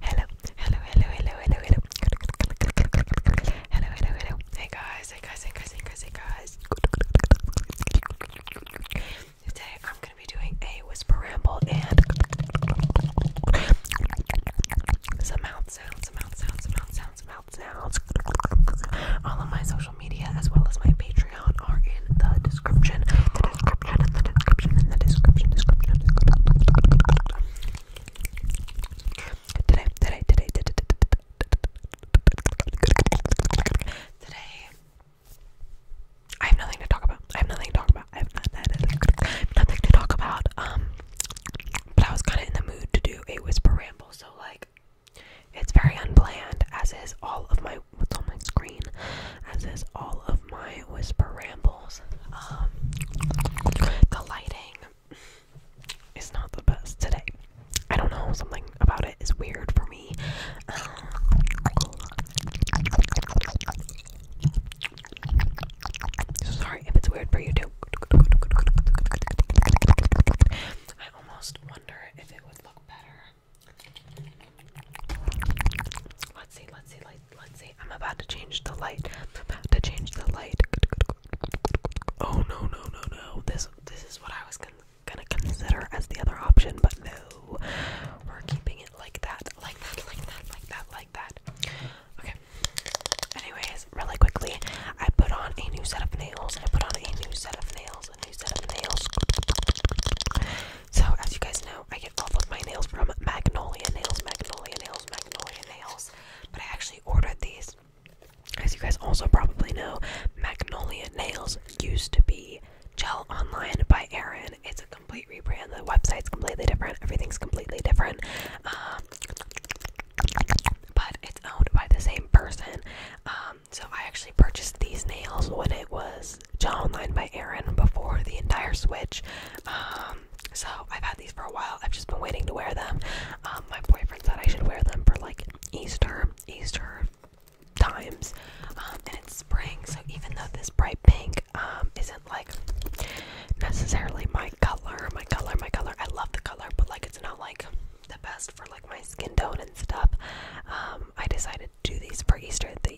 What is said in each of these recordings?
Hello, hello, hello, hello, hello, hello. Hello, hello, hello. Hey guys, hey guys, hey guys, hey guys, hey guys. Today I'm gonna be doing a whisper ramble and some mouth sounds, some mouth sounds, some mouth sounds, some mouth sounds. All of my social media as well as my Patreon are in the description. The description, the description, in the description, description, description. Today, today, today, today, today, I have nothing to talk about. I have nothing to talk about. I have nothing to talk about. Um, but I was kind of in the mood to do a whisper ramble, so like, it's very unplanned, as is all of my what's on my screen, as is all of my whisper ramble. Um, the lighting is not the best today. I don't know, something about it is weird for me. sorry if it's weird for you too. I almost wonder if it would look better. Let's see, let's see, let's Let's see. I'm about to change the light. I'm about to change the light. Oh no no no no! This this is what I was gonna consider as the other option, but no, we're keeping it like that, like that, like that, like that, like that. Okay. Anyways, really quickly, I put on a new set of nails. I put on a new set of nails. A new set of nails. So as you guys know, I get all of my nails from Magnolia Nails. Magnolia Nails magnolia nails, but I actually ordered these. As you guys also probably know, Magnolia Nails used to be Gel Online by Erin. It's a complete rebrand. The website's completely different. Everything's completely different. Um, but it's owned by the same person. Um, so I actually purchased these nails when it was Gel Online by Erin before the entire switch. Um, so I've had these for a while. I've just been waiting to wear them. Um, my boyfriend said I should wear them for like Easter, Easter times, um, and it's spring. So even though this bright pink um, isn't like necessarily my color, my color, my color. I love the color, but like it's not like the best for like my skin tone and stuff. I decided to do these for Easter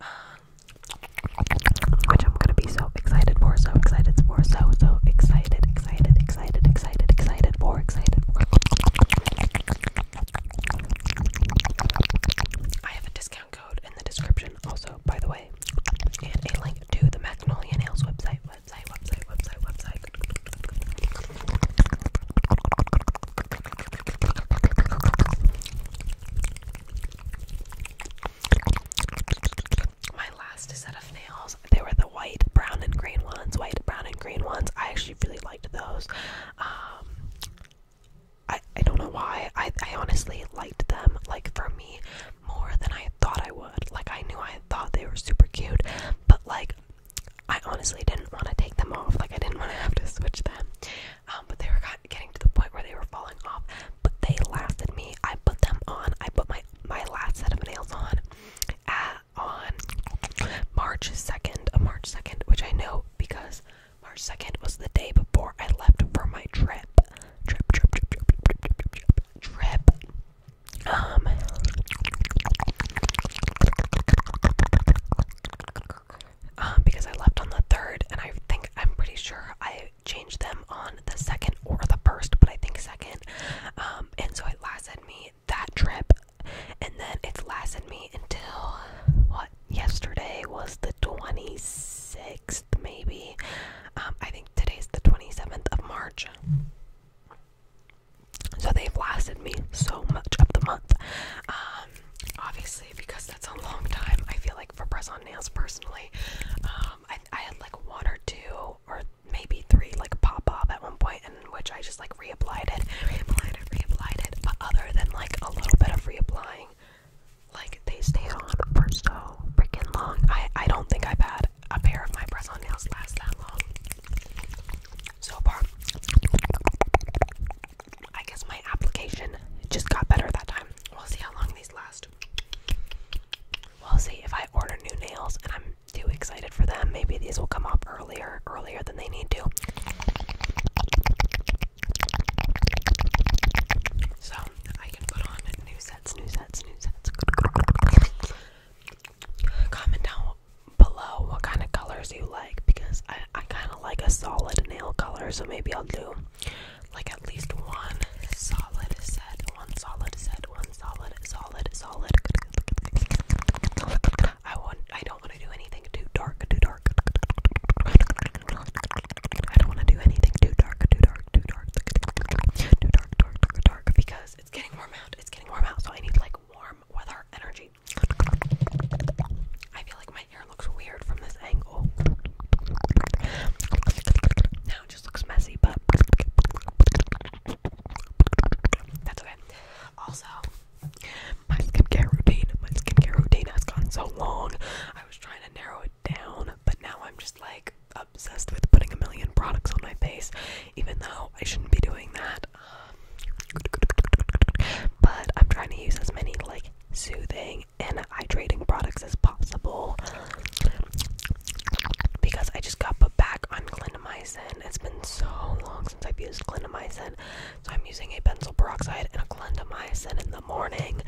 um, which I'm gonna be so excited for, so excited for, so so excited, excited, excited, excited, excited for, excited for. I have a discount code in the description, also by the way, and a link to the Magnolia Nails website, website, website, website, website. My last set of nails, they were the white, brown, and green ones. White, brown, and green ones. I actually really liked those. Um, I I don't know why. I I honestly liked them. Like for me, more than I thought I would. Like I knew I thought they were super cute, but like I honestly didn't want to take them off. Like I didn't want to have to switch them um, but they were got, getting to the point where they were falling off. But they laughed at me. I put them on. I put my my last set of nails on at, on March second, uh, March second, which I know because March second was the day before I left for my trip. Trip, trip, trip, trip, trip, trip, trip, trip, trip. Um. Um, because I left on the third, and I think I'm pretty sure I changed them on the second or the first, but I think second. Um, and so it lasted me that trip, and then it's lasted me until what yesterday was the 26th, maybe. Um, I think today's the 27th of March. So they've lasted me so much of the month. Um, obviously, because that's a long time, I feel like for press on nails personally. Um, I, had like one or two or maybe three like pop up at one point, in which I just like reapplied it, reapplied it, reapplied it. But other than like a little bit of reapplying, like they stayed on for so freaking long. I I don't think I've had a pair of my press on nails last that long so far. I guess my application just got better that time. We'll see how long these last. We'll see if I order new nails and I'm too excited for them. Maybe these will come up earlier, earlier than they need to. So I can put on new sets, new sets, new sets. Comment down below what kind of colors you like because I, I kind of like a solid nail color, so maybe I'll do like at least one solid set, one solid set, one solid, solid, solid. I want. I don't want to do anything too dark, too dark. I don't want to do anything too dark, too dark, too dark, too dark, dark, dark, dark, because it's getting warm out. It's getting warm out, so I need like warm weather energy. I feel like it looks weird from this angle. Now it just looks messy, but that's okay. Also, my skincare routine, my skincare routine has gone so long. I was trying to narrow it down, but now I'm just like obsessed with putting a million products on my face, even though I shouldn't be doing that. Um, but I'm trying to use as many like soothing and hydrating products as possible because I just got put back on clindamycin. It's been so long since I've used clindamycin, so I'm using a benzyl peroxide and a clindamycin in the morning,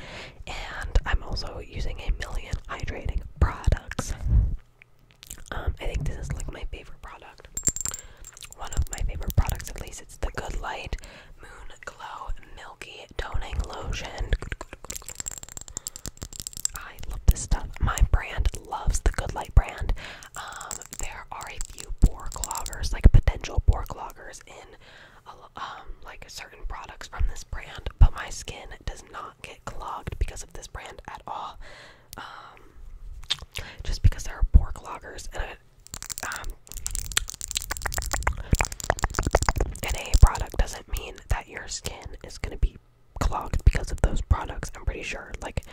and I'm also using a million hydrating products. Um, I think this is like my favorite product. One of my favorite products, at least, it's the Good Light Moon Glow Milky Toning Lotion. I love this stuff. My brand loves the Good Light brand. Um, there are a few pore cloggers, like potential pore cloggers, in um, like certain products from this brand, but my skin does not get clogged because of this brand at all. Um, just because there are pore cloggers, and I, um, NA product doesn't mean that your skin is gonna be clogged because of those products. I'm pretty sure. Like,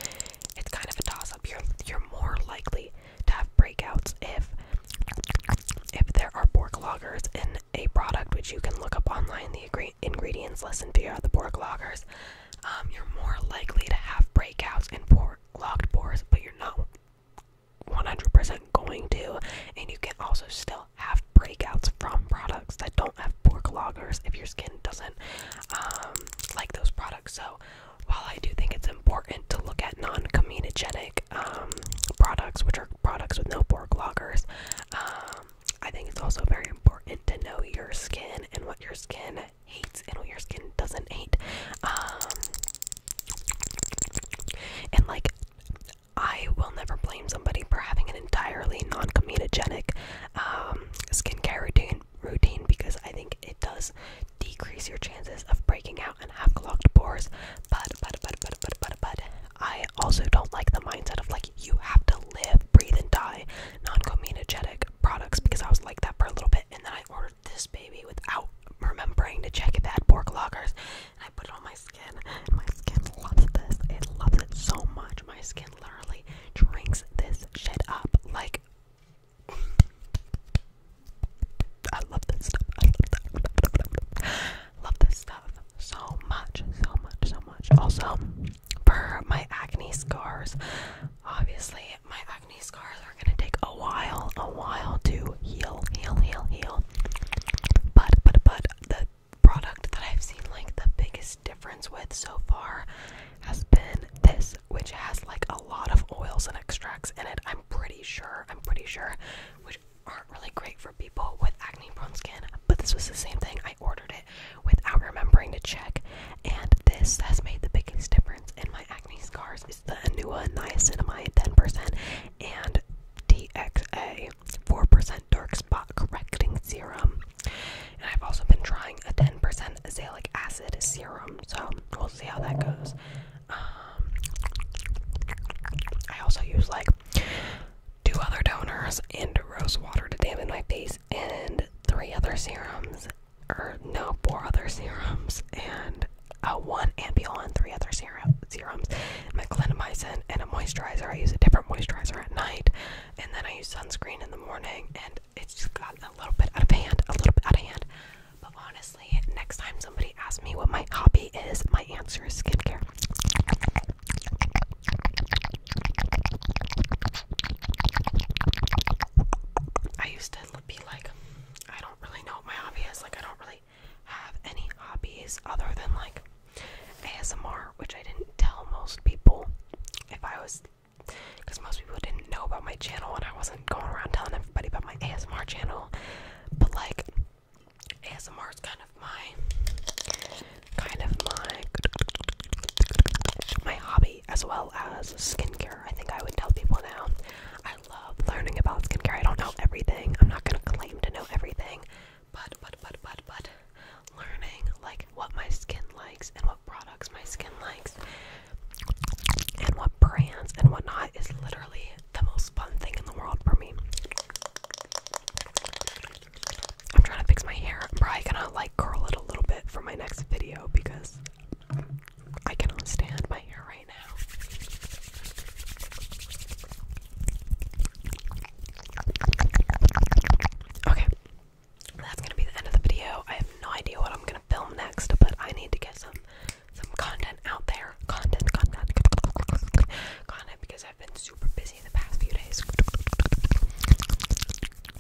it's kind of a toss-up. You're you're more likely to have breakouts if if there are pore cloggers in a product, which you can look up online. The ingredients list and figure out the pore cloggers. Um, you're more likely to have breakouts and pore clogged pores, but you're not 100% going to, and you can also still have breakouts from products that don't have pork loggers if your skin doesn't um, like those products. So, while I do think it's important to look at non comedogenic um, products, which are products with no pork loggers, um, I think it's also very important to know your skin and what your skin hates and what your skin doesn't hate. And like, I will never blame somebody for having an entirely non-comedogenic um, skincare routine routine because I think it does decrease your chances of breaking out and have clogged pores. But but but but but but but I also don't like the mindset of like you have to live, breathe, and die non-comedogenic products because I was like that for a little bit and then I ordered ordered this baby without remembering to check if it had pork loggers. And I put it on my skin. And my skin loves this. It loves it so much. My skin literally drinks this shit up. Like, I love this stuff. I love, that. love this stuff so much. So much, so much. Also, for my acne scars, obviously, my acne scars are gonna take a while, a while to heal, heal, heal, heal. But, but, but, the product that I've seen like the biggest difference with so far has been this, which has like a lot of oils and extracts in it. I'm pretty sure, I'm pretty sure, which aren't really great for people with acne prone skin. But this was the same thing. I ordered it without remembering to check, and this has made the biggest difference in my acne scars stars the Anuva Niacinamide 10% and DXA 4% Dark Spot Correcting Serum. And I've also been trying a 10% Azelaic Acid Serum, so we'll see how that goes. Um, I also use like two other toners and rose water to dampen my face and three other serums or no, four other serums, and uh, one ampule and three other serum, serums. My clindamycin and a moisturizer. I use a different moisturizer at night, and then I use sunscreen in the morning. And it's just gotten a little bit out of hand, a little bit out of hand. But honestly, next time somebody asks me what my hobby is, my answer is skincare. I used to be like, I don't really know what my hobby is. Like, I don't really have any hobbies other than like ASMR, which I didn't tell most people if I was, because most people didn't know about my channel and I wasn't going around telling everybody about my ASMR channel. But like, ASMR is kind of my, kind of my, my hobby beauty as well as skincare. I think I would tell people now. I love learning about skincare. I don't know everything. I'm not gonna claim to know everything, but but but but but learning like what my skin likes and what products my skin likes and what brands and whatnot is literally the most fun thing in the world for me. I'm trying to fix my hair. I'm probably gonna like curl it a little bit for my next video because I cannot stand my hair right now. Okay, that's gonna be the end of the video. I have no idea what I'm gonna film next, but I need to get some some content out there. Content, content, content, because I've been super busy the past few days.